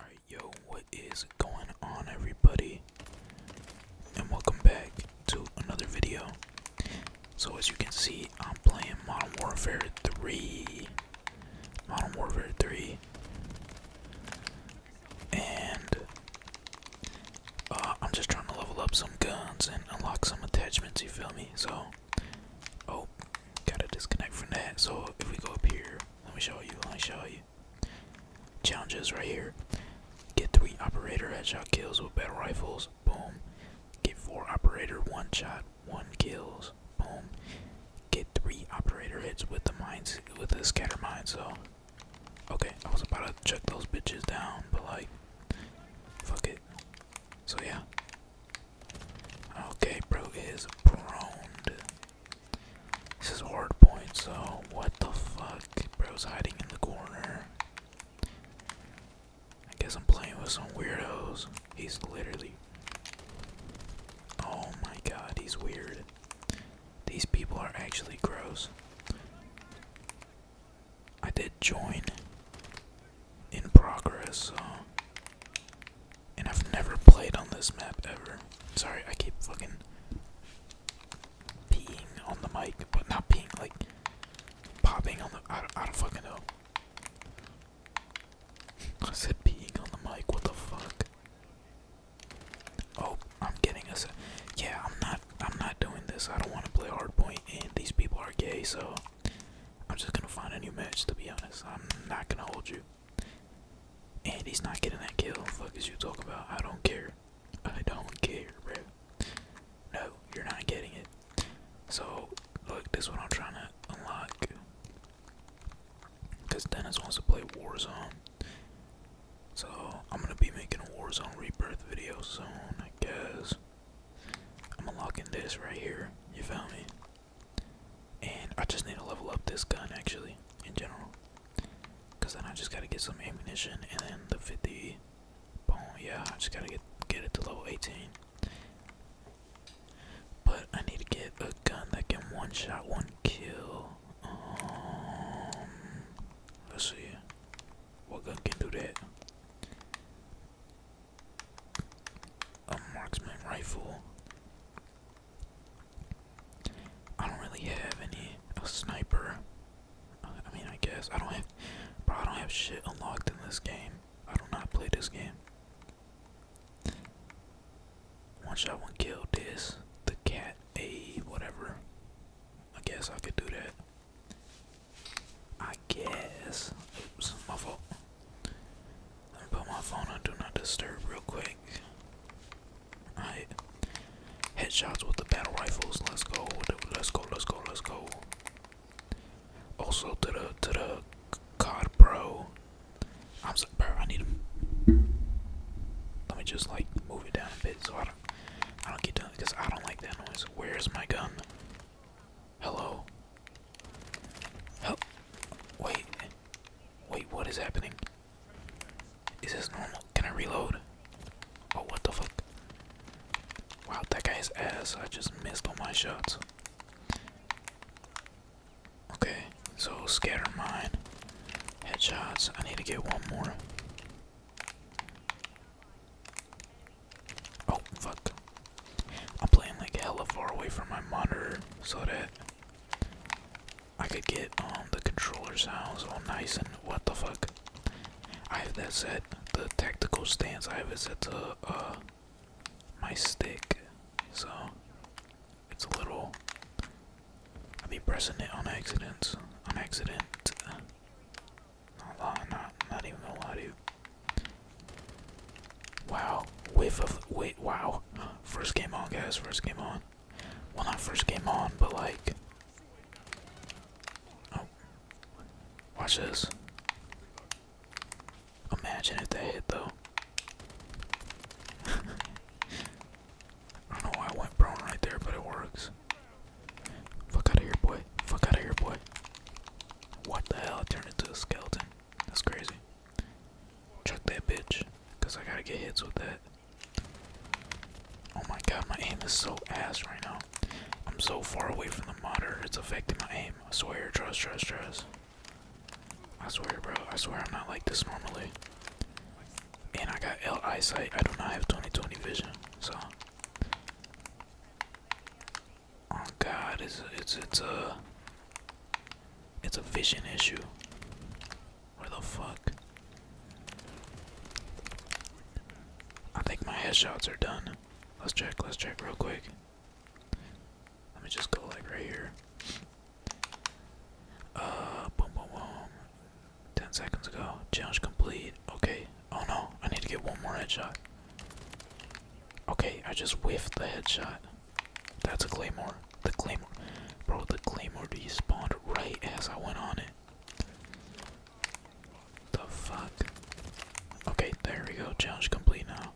Alright, yo, what is going on, everybody? And welcome back to another video. So, as you can see, I'm playing Modern Warfare 3. Modern Warfare 3. And uh, I'm just trying to level up some guns and unlock some attachments, you feel me? So, oh, gotta disconnect from that. So, if we go up here. Let me show you. Let me show you. Challenges right here. Get three operator headshot kills with battle rifles. Boom. Get four operator one shot, one kills. Boom. Get three operator hits with the mines with the scatter mines. So, okay, I was about to check those bitches down, but like, fuck it. So yeah. Okay, bro is prone. This is ward point, so what the fuck? Bro's hiding in the corner. I guess I'm playing with some weirdos. He's literally. Oh my god, he's weird. These people are actually gross. I did join in progress, so and I've never played on this map ever. Sorry, I keep fucking peeing on the mic, but not peeing, like popping on the. I don't, I don't fucking know. I said peeing on the mic, what the fuck? Oh, I'm getting us. Yeah, I'm not. I'm not doing this. I don't want to play hardpoint, and these people are gay, so I'm just gonna find a new match. To be honest, I'm not gonna hold you. And he's not getting that kill. Fuck is you talking about? I don't care. I don't care, bro. No, you're not getting it. So, look, this one I'm trying to unlock. Because Dennis wants to play Warzone. So, I'm going to be making a Warzone Rebirth video soon, I guess. I'm unlocking this right here. You found me? And I just need to level up this gun actually, in general. Cause then I just gotta get some ammunition and then the 50 boom, yeah, I just gotta get get it to level 18. But I need to get a gun that can one shot, one kill. Um, let's see. What gun can do that? a marksman rifle. I don't really have any a sniper. I mean, I guess I don't have, bro. I don't have shit unlocked in this game. I do not play this game. One shot, one kill. This, the cat, a whatever. I guess I could do that. I guess. Oops, my fault. I'm gonna put my phone on do not disturb real quick. Alright. Headshots with the battle rifles. Let's go. Let's go. Let's go. Let's go. Also to the to the God bro. I'm sorry, bro. I need him. Let me just like move it down a bit so I don't I don't get done because I don't like that noise. Where's my gun? Hello. Oh, wait. Wait, what is happening? Is this normal? Can I reload? Oh, what the fuck? Wow, that guy's ass. I just missed on my shots. Okay, so scatter mine. Headshots. I need to get one more. Oh, fuck. I'm playing like hella far away from my monitor so that I could get um the controller sounds all nice and what the fuck. I have that set. The tactical stance I have it set to uh, my stick. So it's a little I'll be pressing it on accident. On accident. Not lie, not not even a lie to Wow, wave of wait. Wow, first came on, guys. First came on. Well, not first came on, but like. Oh, watch this. Imagine if that hit though. I don't know why I went prone right there, but it works. Fuck out of here, boy. Fuck out of here, boy. What the hell? turned into a skeleton. That's crazy. Chuck that bitch, cause I gotta get hits with that. Oh my god, my aim is so ass right now. I'm so far away from the monitor, it's affecting my aim. I swear, trust, trust, trust. I swear, bro, I swear I'm not like this normally. And I got L eyesight. I do not have 20/20 vision, so Oh God, it's it's it's a it's a vision issue. Where the fuck? I think my headshots are done. Let's check. Let's check real quick. Let me just go like right here. Uh, boom, boom, boom. Ten seconds ago. Challenge complete. Okay. Oh no, I need to get one more headshot. Okay, I just whiffed the headshot. That's a claymore. The claymore. Bro, the claymore despawned right as I went on it. The fuck? Okay, there we go. Challenge complete now.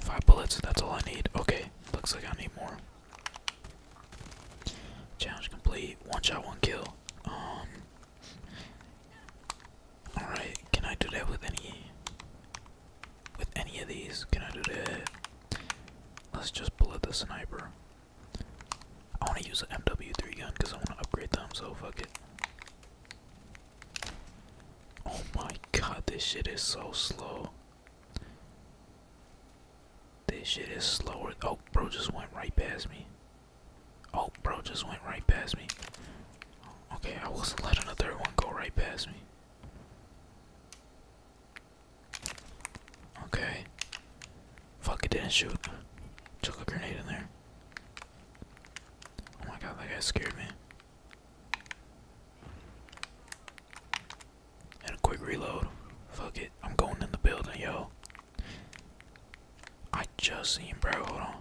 Five bullets, that's all I need. Okay, looks like I need more. Challenge complete. One shot, one kill. Um, Alright, can I do that with any with any of these? Can I do that? Let's just bullet the sniper. I wanna use an MW3 gun because I wanna upgrade them, so fuck it. Oh my god, this shit is so slow. This shit is slower. Oh, bro just went right past me. Oh, bro, just went right past me. Okay, I wasn't letting the third one go right past me. Okay. Fuck, it didn't shoot. Took a grenade in there. Oh my god, that guy scared me. And a quick reload. Fuck it, I'm going in the building, yo. I just seen bro, hold on.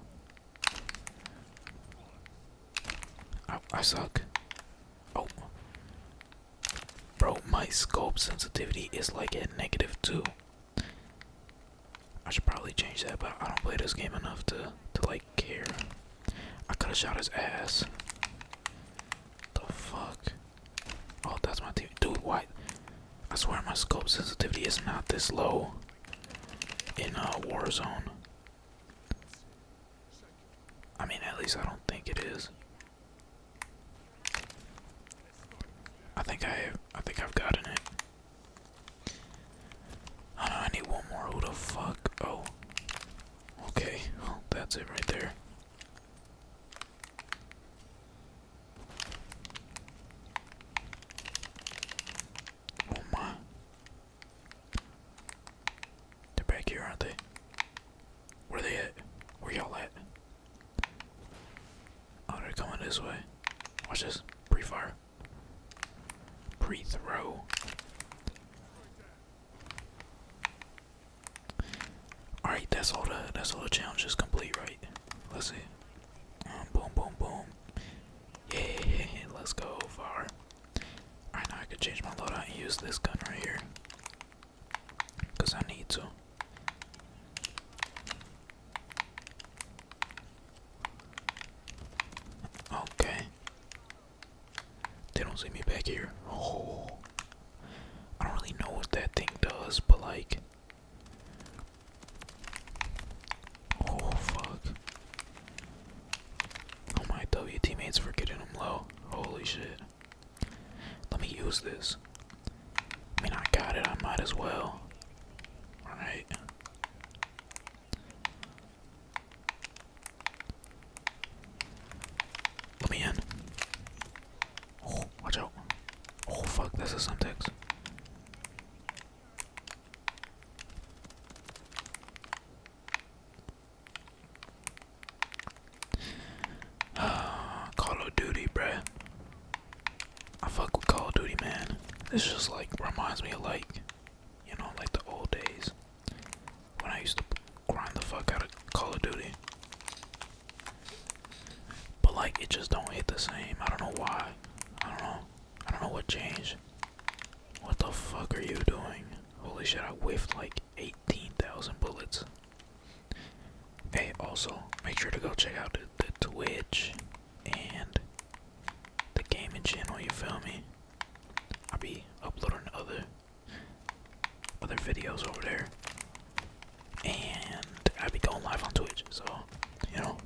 I, suck. Oh. Bro, my scope sensitivity is like at negative two. I should probably change that, but I don't play this game enough to to like care. I could have shot his ass. The fuck? Oh, that's my Dude, why? I swear my scope sensitivity is not this low in a war zone. I mean, at least I don't think it is. I think I, I think I've gotten it. I need one more. Who the fuck? Oh, okay. that's it right there. Oh my. They're back here, aren't they? Where they at? Where y'all at? Oh, they coming this way. Watch this. Pre-fire. Pre-throw. Alright, that's all the that's all the challenges complete, right? Let's see. Um, boom, boom, boom. Yeah, let's go far. Alright, now I can change my loadout and use this gun right here. Because I need to. Okay. They don't see me back here. Oh. I don't really know what that thing does, but like, Oh fuck. Oh my W teammates were getting him low. Holy shit. Let me use this. I mean I got it, I might as well. Alright. Let me in. Oh, watch out. Oh fuck, that's a Semtex. Call of Duty, bruh. I fuck with Call of Duty, man. This just like reminds me of like, you know, like the old days when I used to grind the fuck out of Call of Duty. But like, it just don't hit the same. I don't know why. I don't know. I don't know what changed. What the fuck are you doing? Holy shit, I whiffed like 18,000 bullets. Hey, also, make sure to go check out the, the Twitch and the gaming channel, you feel me? I'll be uploading other other videos over there and I be going live on Twitch, so you know,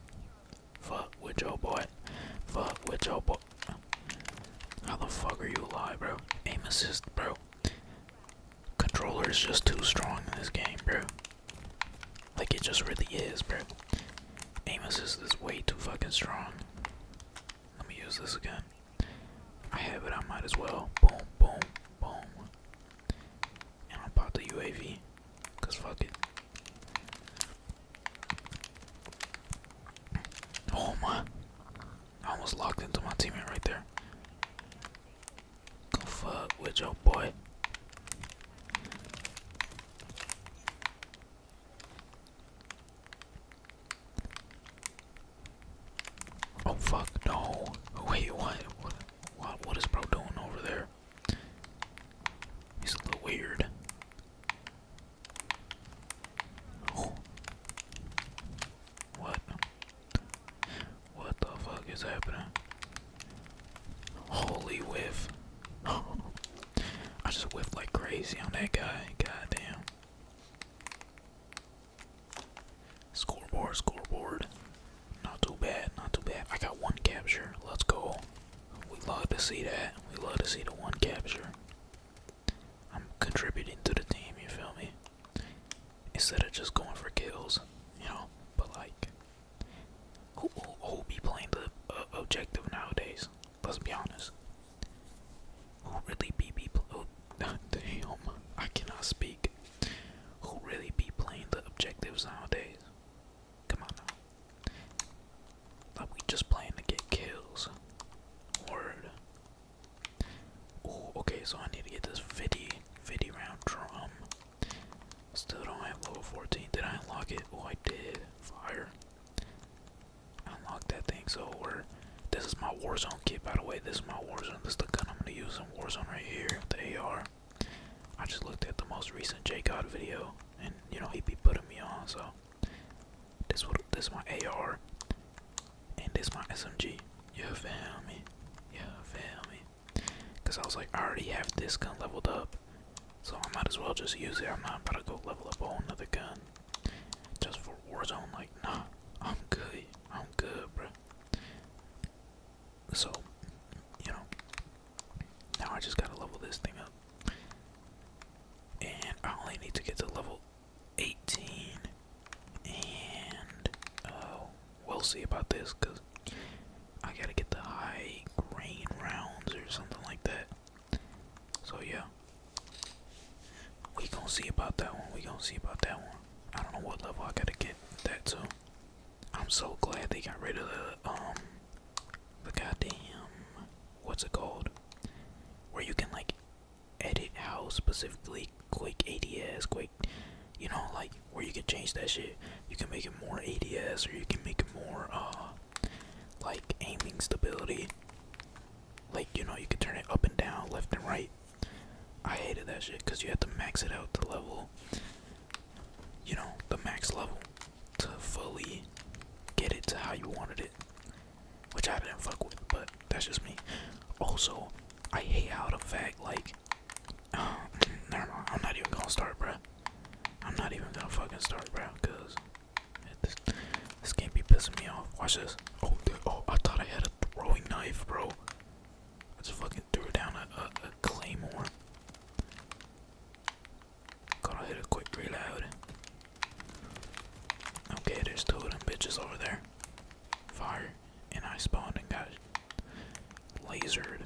fuck with your boy, fuck with your boy. How the fuck are you alive, bro? Aim assist, bro. Controller is just too strong in this game, bro. Like it just really is, bro. Aim assist is way too fucking strong. Let me use this again. I have it. I might as well. Boom, boom, boom. And I'll pop the UAV. Cause fuck it. Oh my. I almost locked into my teammate right there. Go fuck with your boy. Oh fuck no. Wait, What, what is bro doing over there? He's a little weird. What? What the fuck is happening? Holy whiff. I just whiffed like crazy on that guy. God damn. Scoreboard, scoreboard. Not too bad, not too bad. I got one capture. Let's go. We love to see that. We love to see the one capture. I'm contributing to the team, you feel me? Instead of just going for kills, you know? But like, who, who, who be playing the uh, objective nowadays? Let's be honest. Who really be, be oh, damn, I cannot speak. Who really be playing the objectives nowadays? Come on now. we just playing to get kills. okay, so I need to get this 50, 50 round drum. Still don't have level 14. Did I unlock it? Oh, I did. Fire. Unlock that thing. So we're. This is my Warzone kit, by the way. This is my Warzone. This is the gun I'm gonna use in Warzone right here. The AR. I just looked at the most recent J God video, and you know he be putting me on. So this is my AR, and this my SMG. You fail me? You fail me? Cause I was like, I already have this gun leveled up, so I might as well just use it. I'm not about to go level up a another gun just for Warzone. Like, nah, I'm good. I'm good, bro. So, you know, now I just gotta level this thing up. And I only need to get to level 18. And, uh, we'll see about this because I gotta get the high grain rounds or something like that. So, yeah. We gonna see about that one. We gonna see about that one. I don't know what level I gotta get that to. I'm so glad they got rid of the um the goddamn what's it called? Where you can like edit how specifically Quake ADS, Quake you know, like where you can change that shit. You can make it more ADS or you can make it more uh like aiming stability. Like, you know, you can turn it up and down, left and right. I hated that shit because you had to max it out to level you know, the max level to fully get it to how you wanted it. Which I didn't fuck with, but that's just me. Also, I hate how it affects like, never mind, I'm not even gonna start, bro. I'm not even gonna fucking start, bro. because this, can't be pissing me off. Watch this. Oh, dude, oh, I thought I had a throwing knife, bro. I fucking fucking threw down a, a, a claymore. Gotta hit a quick reload. Okay, there's two of them bitches over there. Fire. And I spawned and got lasered.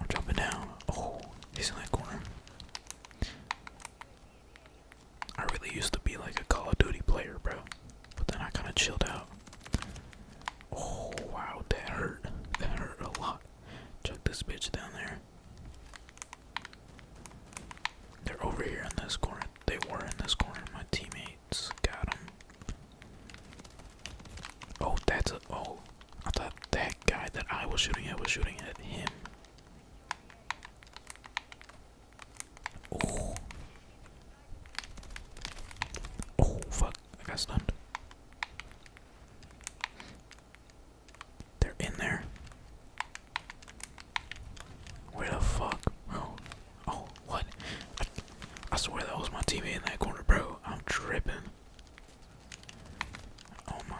I'm jumping down. Oh, he's in that corner. I really used to be like a Call of Duty player, bro. But then I kind of chilled out. Oh wow, that hurt. That hurt a lot. Chuck this bitch down there. They're over here in this corner. They were in this corner. My teammates got them. Oh, that's a. Oh, I thought that guy that I was shooting at was shooting at him. Oh. Oh, fuck. I got stunned. They're in there. Where the fuck, bro? Oh. oh, what? I, swear that was my TV in that corner, bro. I'm tripping. Oh my.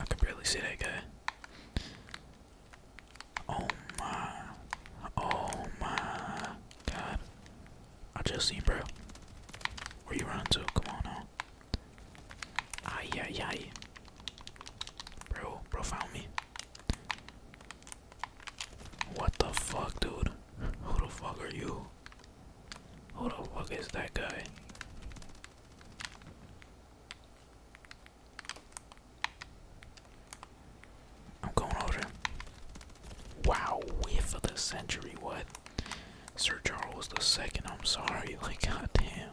I can barely see that guy. Oh my. Oh my god. I just see, bro. Where you running to? Come on now. Ay ay Bro, bro found me. What the fuck dude? Who the fuck are you? Who the fuck is that guy? I'm going over. Wow, whiff of the century, what? Sir Charles the Second, I'm sorry, like goddamn.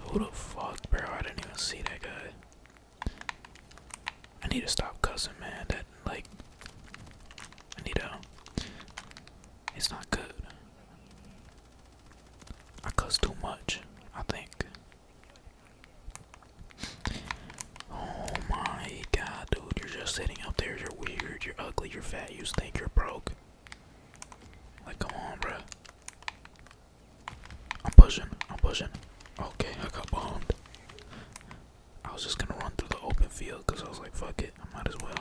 Who the fuck, bro? I didn't even see that guy. I need to stop cussing, man. That like I need to it's not good. I cuss too much, I think. Oh my god, dude, you're just sitting up there. You're weird, you're ugly, you're fat, you stink, you're broke. Like, come on, bro. I'm pushing, I'm pushing. Okay, I got bombed. I was just gonna run through the open field because I was like, fuck it, I might as well.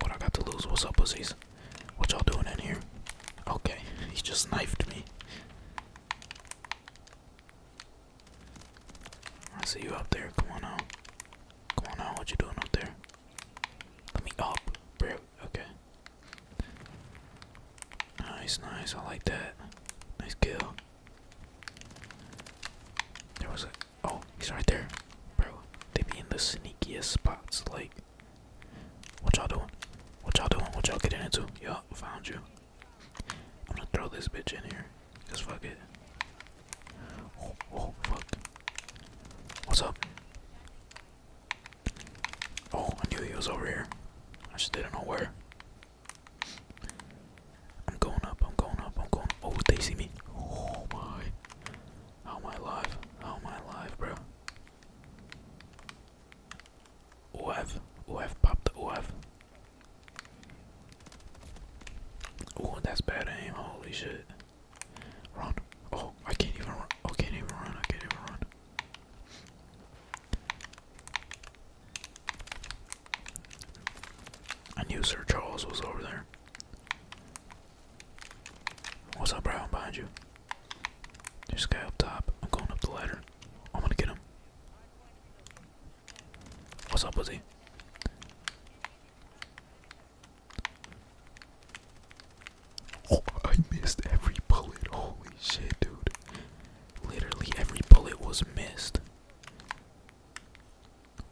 What I got to lose? What's up, pussies? What y'all doing in here? Okay, he just knifed me. I see you up there. Come on out. Come on out. What you doing up there? Let me up, bro. Okay. Nice, nice. I like that. Nice kill. There was a. Oh, he's right there, bro. They be in the sneakiest spots. Like, what y'all doing? What y'all doing? What y'all getting into? Yup, found you. I'm gonna throw this bitch in here. Cause fuck it. Oh, oh, fuck. What's up? Oh, I knew he was over here. I just didn't know where. I'm going up, I'm going up, I'm going up. Oh, they see me. Oh my. How am I alive? How am I alive, bro? OF, OF, pop the OF. Oh, that's bad aim, holy shit. Run. Oh, I can't even I oh, can't even run. I can't even run. I knew Sir Charles was over there. What's up, bro? behind you. There's a guy up top. I'm going up the ladder. I'm gonna get him. What's up, Lizzie? Oh, I missed every bullet. Holy shit, dude. Literally every bullet was missed.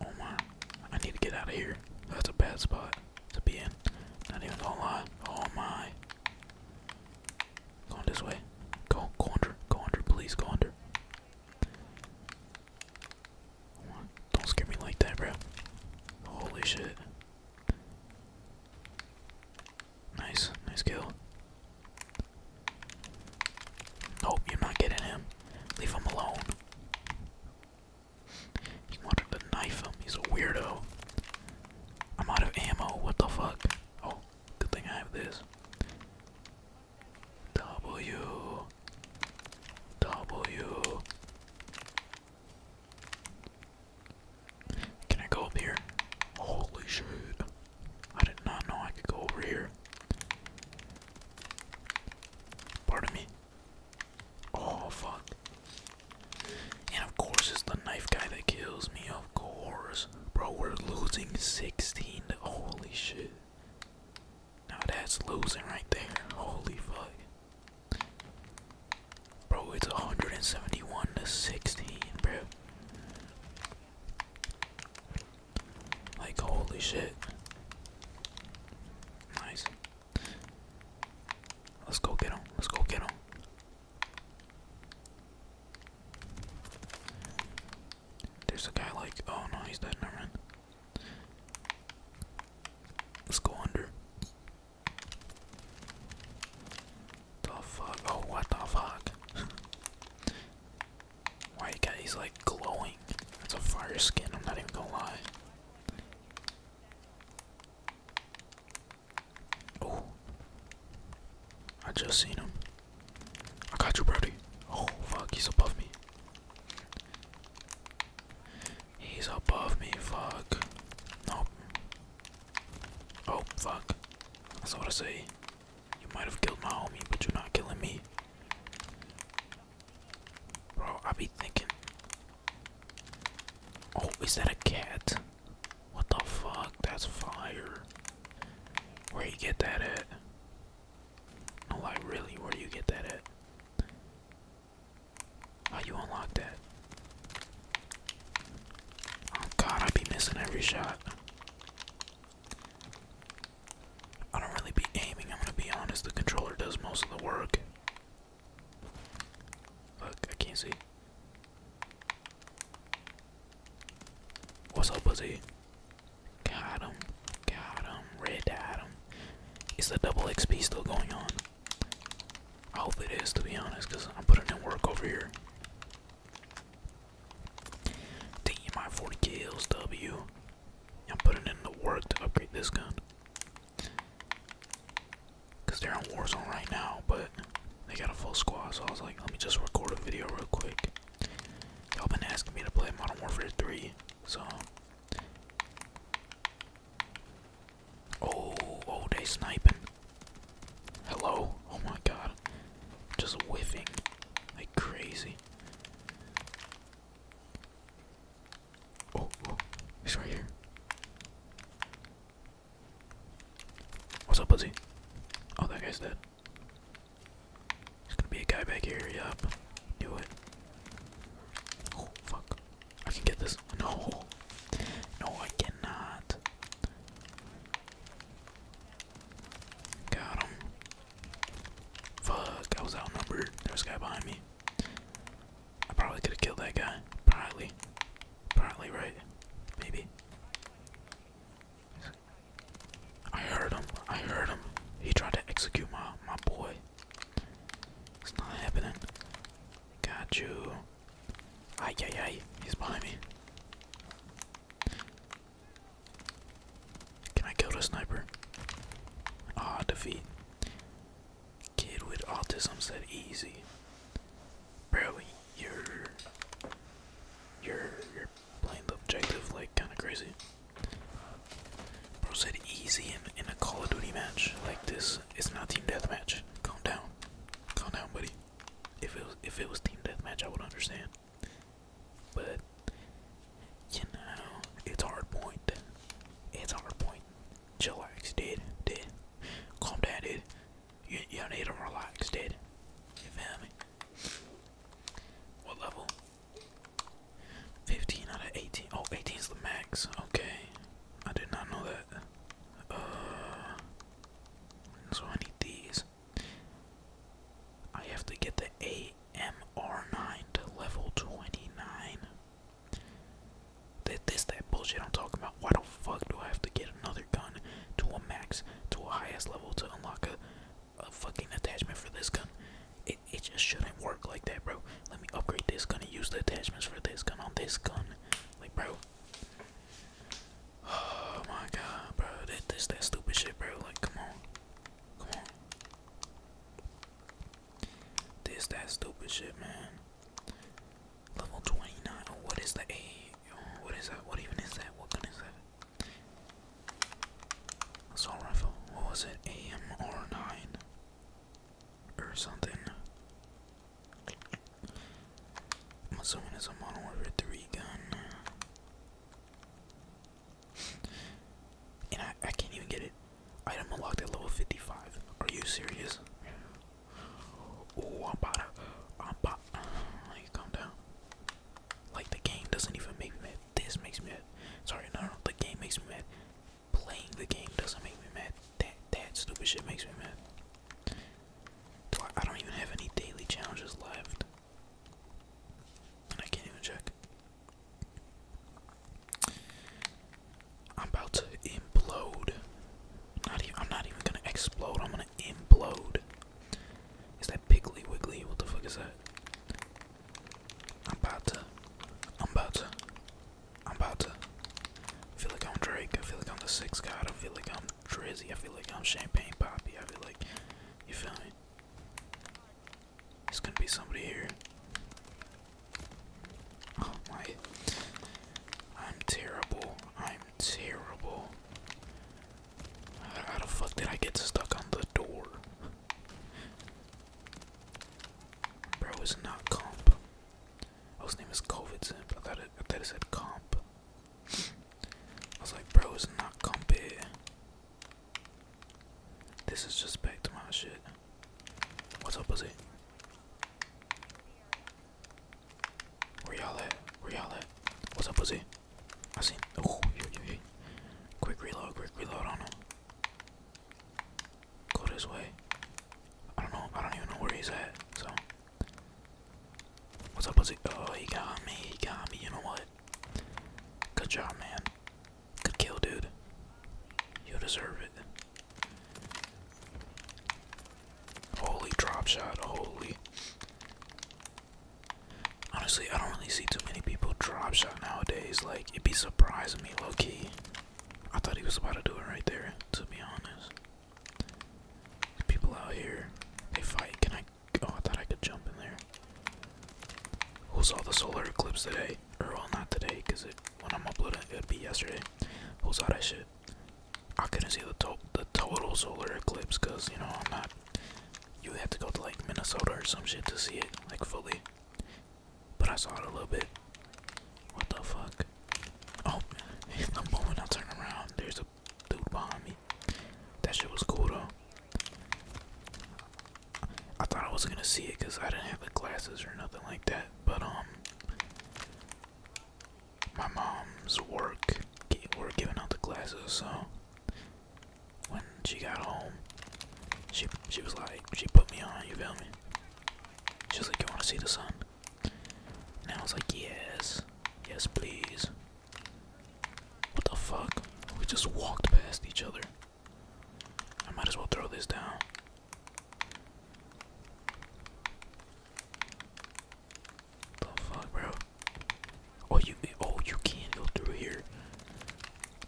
Oh my. I need to get out of here. That's a bad spot to be in. Not even gonna lie. Oh my. Going this way. Go, go under, go under, please, go under. Don't scare me like that, bro. Holy shit. Nice, nice kill. Nope, you're not getting him. Leave him alone. He wanted to knife He's a weirdo. I'm out of ammo. What the fuck? Oh, good thing I have this. W. W. Can I go up here? Holy shit. I did not know I could go over here. Pardon me. Oh fuck. And of course it's the knife guy that kills me, of course. Bro, we're losing 16 holy shit. Now that's losing right there. Holy fuck. Bro, it's 171 to 16, bro. Like holy shit. Nice. Let's go get him. Let's go get him. There's a guy like, oh no, he's dead. Never mind. Let's go under. The fuck? Oh, what the fuck? Why you got he's like glowing? That's a fire skin. I'm not even gonna lie. Oh, I just seen him. I got you, Brody. Oh, fuck, he's above me. He's above me, fuck. Nope. Oh, fuck. That's all I say. You might have killed my homie, but you're not killing me. Bro, I be thinking. Oh, is that a cat? What the fuck? That's fire. Where you get that at? No, like really, where do you get that at? How oh, you unlock that? Oh god, I be missing every shot. I don't really be aiming, I'm gonna be honest, the controller does most of the work. Fuck, I can't see. What's up, pussy? Got him. Got him. Red at him. Is the double XP still going on? I hope it is, to be honest, because I'm putting in work over here. Damn, my 40 kills, W. I'm putting in the work to upgrade this gun. Cause they're on Warzone right now, but they got a full squad, so I was like, let me just record a video real quick. Y'all been asking me to play Modern Warfare 3, so Oh, oh they sniping. Hello? Oh my god. Just whiffing. Like crazy. Oh, oh, he's right here. What's up, Buzzy? Oh, that guy's dead. There's gonna be a guy back here. Yup. Do it. Oh, fuck. I can get this. No. No, I cannot. Got him. Fuck, I was outnumbered. There a guy behind me. I probably could have killed that guy. Probably. Probably, right? Maybe. I heard him. I heard him. He tried to execute my my boy. It's not happening. Got you. Ay He's behind me. Can I kill the sniper? Ah, defeat. Kid with autism said easy. Barely. You're you're you're playing the objective like kinda crazy. Bro said easy in, in a Call of Duty match like this. It's not team deathmatch. Calm down. Calm down, buddy. If it was if it was team deathmatch I would understand. But you know, it's hard point. It's hard point chillax, dude. Dude, calm down, dude. You you need to relax, dude. You feel me? What level? 15 out of 18. Oh, 18 is the max. Okay, I did not know that. Uh, so I need these. I have to get the AMR9 to level 29. That this that bullshit I'm talking about. Why the fuck do I have to get another gun to a max to a highest level to unlock a, a fucking attachment for this gun? It it just shouldn't work like that, bro. Let me upgrade this gun and use the attachments for this gun on this gun. Like bro. Oh my god, bro. That this that stupid shit, bro. Like come on. Come on. This that stupid shit, man. Level 29. Oh, what is the A? what is that? What even is that? What gun is that? Assault rifle. What was it? AMR9 or something. I'm assuming it's a Modern Warfare 3 gun. And I, I can't even get it Item unlocked at level 55. Are you serious? Oh, I'm about I'm about. Like, calm down. Like, the game doesn't even make me mad. This makes me mad. Sorry, no, no, the game makes me mad. Playing the game doesn't make me mad. That that stupid shit makes me mad. Do I don't even have any daily challenges left. And I can't even check. I'm about to implode. Not even. I'm not even gonna explode. I'm gonna implode. Is that Piggly Wiggly? What the fuck is that? I'm about to. I'm about to. I'm about to. I feel like I'm Drake. I feel like I'm the Sixth God. I feel like I'm Drizzy. I feel like I'm Champagne Poppy. I feel like. You feel me? It's gonna be somebody here. Oh my. I'm terrible. I'm terrible. How the fuck did I get stuck on the door? Bro, Is not comp. Oh, his name is COVID Zimp. I thought it, I said comp. I was like, bro, is not comp. This is just back to my shit. What's up, pussy? Where y'all at? Where y'all at? What's up, pussy? I seen. Oh, yo, Quick reload, quick reload on him. Go this way. I don't know. I don't even know where he's at. So. What's up, pussy? Oh, he got me. He got me. You know what? Good job, man. Good kill, dude. You deserve it. Holy drop shot, holy. Honestly, I don't really see too many people drop shot nowadays. Like, it'd be surprising me, low key. I thought he was about to do it right there, to be honest. People out here, they fight. Can I? Oh, I thought I could jump in there. Who saw the solar eclipse today? well not today because it when I'm uploading it, would be yesterday. Who's all that shit? I couldn't see the to the total solar eclipse because you know I'm not. You had to go to like Minnesota or some shit to see it like fully. But I saw it a little bit. What the fuck? Oh, the moment I turn around, there's a dude behind me. That shit was cool though. I thought I wasn't gonna see it because I didn't have the glasses or nothing like that. But um, my mom's work were giving out the glasses, so when she got home, she she was like, she put me on. You feel me? She was like, you wanna see the sun? And I was like, yes, yes, please. What the fuck? We just walked past each other. I might as well throw this down. The fuck, bro? Oh, you oh you can't go through here.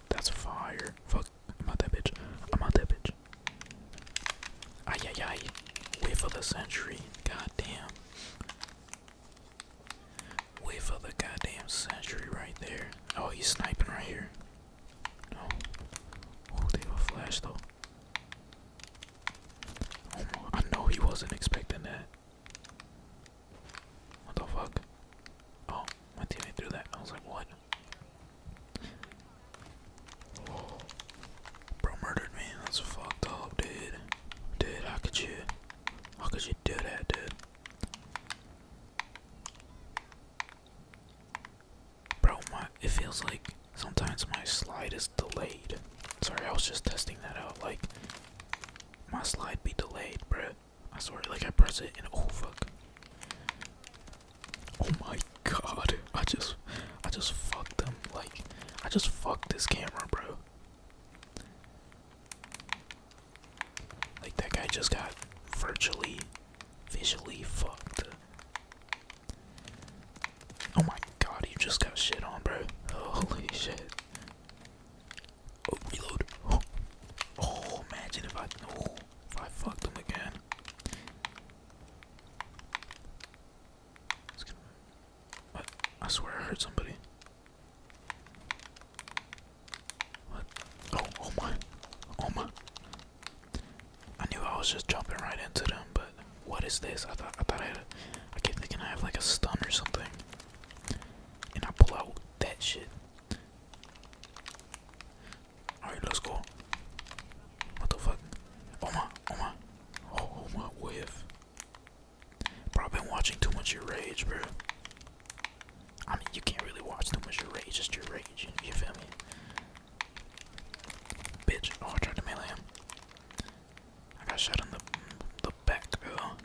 That's fire. Fuck, I'm out that bitch. I'm out that bitch. Ay ay ay. Wait for the century. God damn. Wait for the goddamn century right there. Oh, he's sniping right here. No. Oh, they have flash though. Oh, I know he wasn't expecting that. What the fuck? Oh, my teammate threw that. I was like, what? Bro murdered me. That's fucked up, dude. Dude, how could you? How could you do that, dude? Bro, my, it feels like sometimes my slide is delayed. Sorry, I was just testing that out. Like, my slide be delayed, bro. I swear, like I press it and oh fuck. Oh my god, I just, I just fucked them. Like, I just fucked this camera, bro. Like that guy just got virtually visually fucked. Oh my god, you just got shit on, bro. Holy shit. Oh, reload. Oh, imagine if I if I fucked him again. going I swear I heard somebody. Oh, oh, my. Oh my. I knew I was just jumping right into them, but what is this? I thought I thought I had a, I kept thinking I have like a stun or something. And I pull out that shit. Alright, let's go. What the fuck? Oh my, oh my. Oh, my whiff. probably been watching too much your rage, bro. I mean, you can't really watch them as your rage, just your rage, you, feel me? Bitch, oh, I tried to melee him. I got shot in the, the back, girl.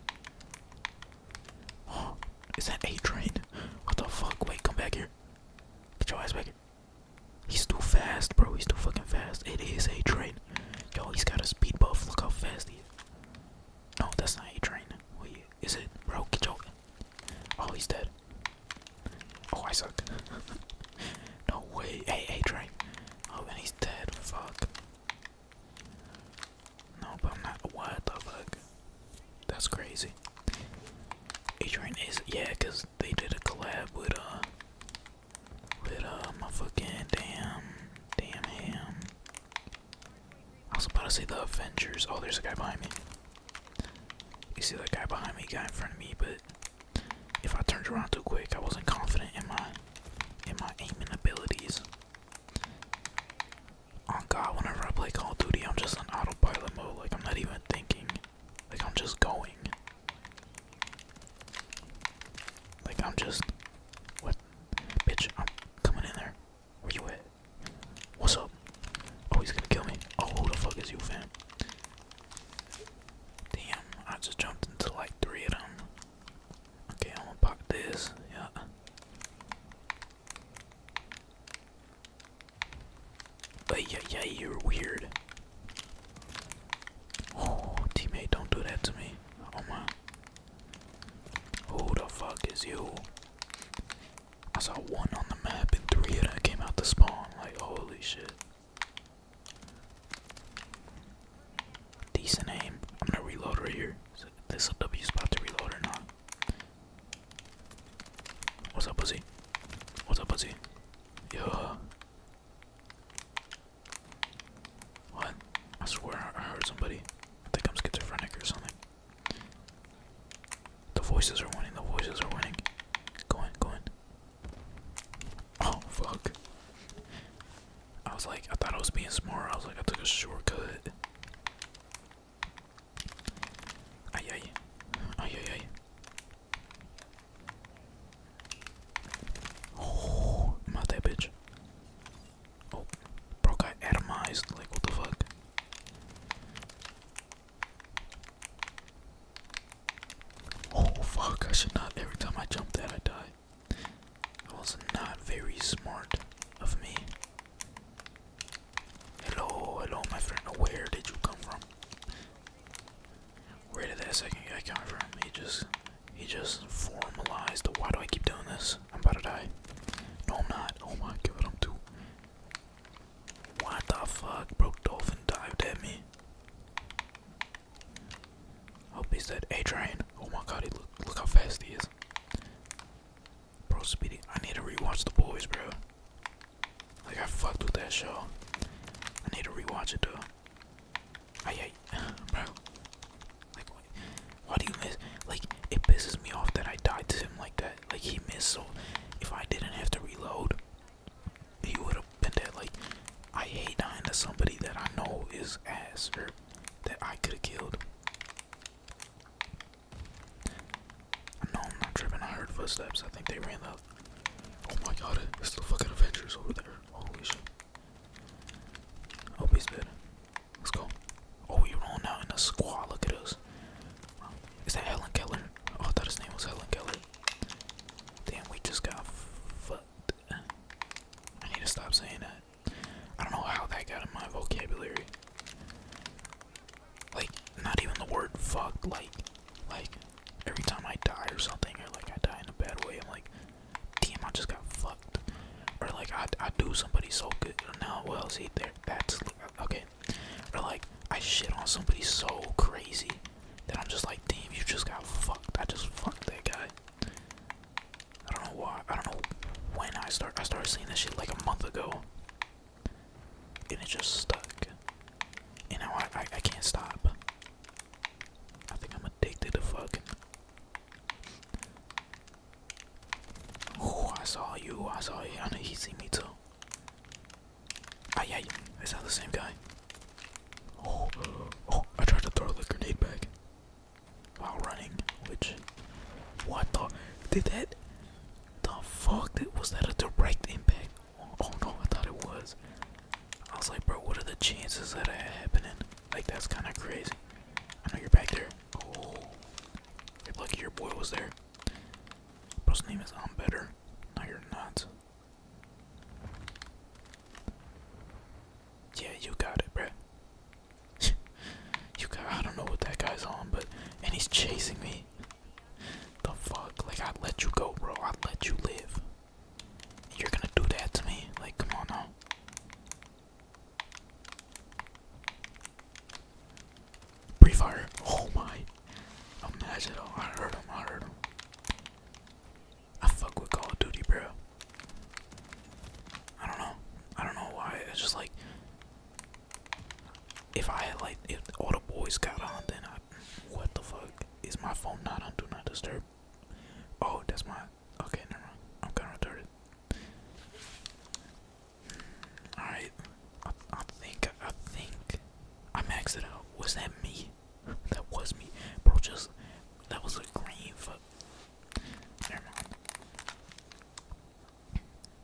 Oh, is that A-Train? What the fuck? Wait, come back here. Get your ass back He's too fast, bro. He's too fucking fast. It is A-Train. Yo, he's got a speed buff. Look how fast he is. No, that's not A-Train. Wait, is it? Bro, get your Oh, he's dead. Oh, I suck. no way. Hey, hey, Oh, and he's dead. Fuck. No, but I'm not. What the fuck? That's crazy. Adrian is yeah, they did a collab with uh, with uh, my fucking damn, damn him. I was about to say the Avengers. Oh, there's a guy behind me. You see that guy behind me, guy in front of me, but if I turned around too quick, I wasn't confident in my in my aiming abilities. Oh god, whenever I play Call Duty, I'm just in autopilot mode, like I'm not even thinking. Like I'm just going. Like I'm just what bitch, I'm coming in there. Where you at? What's up? Oh, he's gonna kill me. Oh, who the fuck is you, fam? Damn, I just jumped into like three of them. Okay, I'm gonna pop this. Yeah. But yeah, yeah, you're weird. Oh, teammate, don't do that to me. Oh my. Who the fuck is you? I saw one on the map and three of them came out the spawn. Like, holy shit. Decent aim. I'm gonna reload right here. Is this a W spot to reload or not? What's up, pussy? What's up, pussy? Yeah. What? I swear I heard somebody. I think I'm schizophrenic or something. The voices are winning, the voices are winning. Go in, go in. Oh, fuck. I was like, I thought I was being smart. I was like, I took a shortcut. Ay, ay. Ay, ay, ay. Oh, I'm that bitch. Oh, bro got atomized. Like, what the fuck? Oh fuck, I should not. Every time I jump that, I die. That was not very smart of me. Hello, hello, my friend. Where did you come from? Where did that second guy come from? He just, he just formalized. Why do I keep doing this? I'm about to die. No, I'm not. Oh my god, I'm too, what the fuck, bro? Dolphin dived at me. Hope he's that Adrian. Oh my god, he look look how fast he is. Bro, Speedy, I need to rewatch the boys, bro. Like I fucked with that show. I need to rewatch it though. Hey, I bro. Like, why do you miss? Like, it pisses me off that I died to him like that. Like he missed, so if I didn't have to reload, he would have been dead. Like I hate dying to somebody that I know is ass or that I could have killed. I I'm not tripping. I heard footsteps. I think they ran up. Oh my god, it's the fucking Avengers over there. Holy shit. I he's dead. Let's go. Oh, we are all now in a squad. Look at us. Is that Helen Keller? Oh, I thought his name was Helen Keller. Damn, we just got fucked. I need to stop saying that. I don't know how that got in my vocabulary. Like, not even the word "fucked." Like, like every time I die or something, or like I die in a bad way, I'm like, damn, I just got fucked. Or like I I do somebody so good. Now, well, see there, that's okay, or like I shit on somebody so crazy that I'm just like, damn, you just got fucked. I just fucked that guy. I don't know why. I don't know when I start. I started seeing this shit like a month ago, and it just stuck. And now I, I can't stop. I think I'm addicted to fucking. Oh, I saw you. I saw you. I know he see me too. Ah, yeah, is that the same guy? Oh, oh! I tried to throw a grenade back while running. Which, what the? Did that? The fuck? Did, was that a direct impact? Oh, oh no, I thought it was. I was like, bro, what are the chances that that happening? Like, that's kind of crazy. I know you're back there. Oh, you're your boy was there. Bro's name is I'm um, better. Now you're not. Yeah, you got it, bruh. you got I don't know what that guy's on, but and he's chasing me. The fuck? Like I let you go, bro. I let you live. You're gonna do that to me? Like come on now. Pre-fire. Oh my. Imagine. Oh, I heard him. I heard him. I fuck with Call of Duty, bro. I don't know. I don't know why. It's just like if I had like if all the boys got on, then I. What the fuck is my phone not on? Do not disturb. Oh, that's my. Okay, never mind. I'm kind of retarded. Alright. I, I think, I think I maxed it out. Was that me? That was me. Bro, just, that was a green foot. Never mind.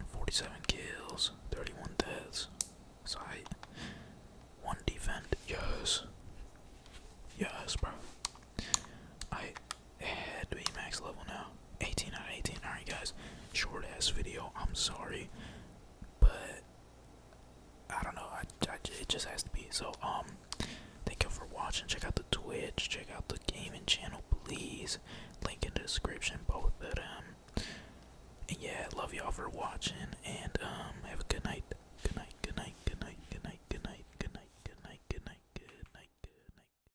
47 kills, 31 deaths. Sight. One defend. Yes. Yes, bro. I head to Emax level now. 18 out of 18. Alright, guys, short ass video. I'm sorry, but I don't know. I, I, it just has to be. So, um, thank you for watching. Check out the Twitch, check out the gaming channel, please. Link in the description, both of them. And yeah, love y'all for watching. And, um, have a good night. Good night, good night, good night, good night, good night, good night, good night, good night, good night, good night. Good night.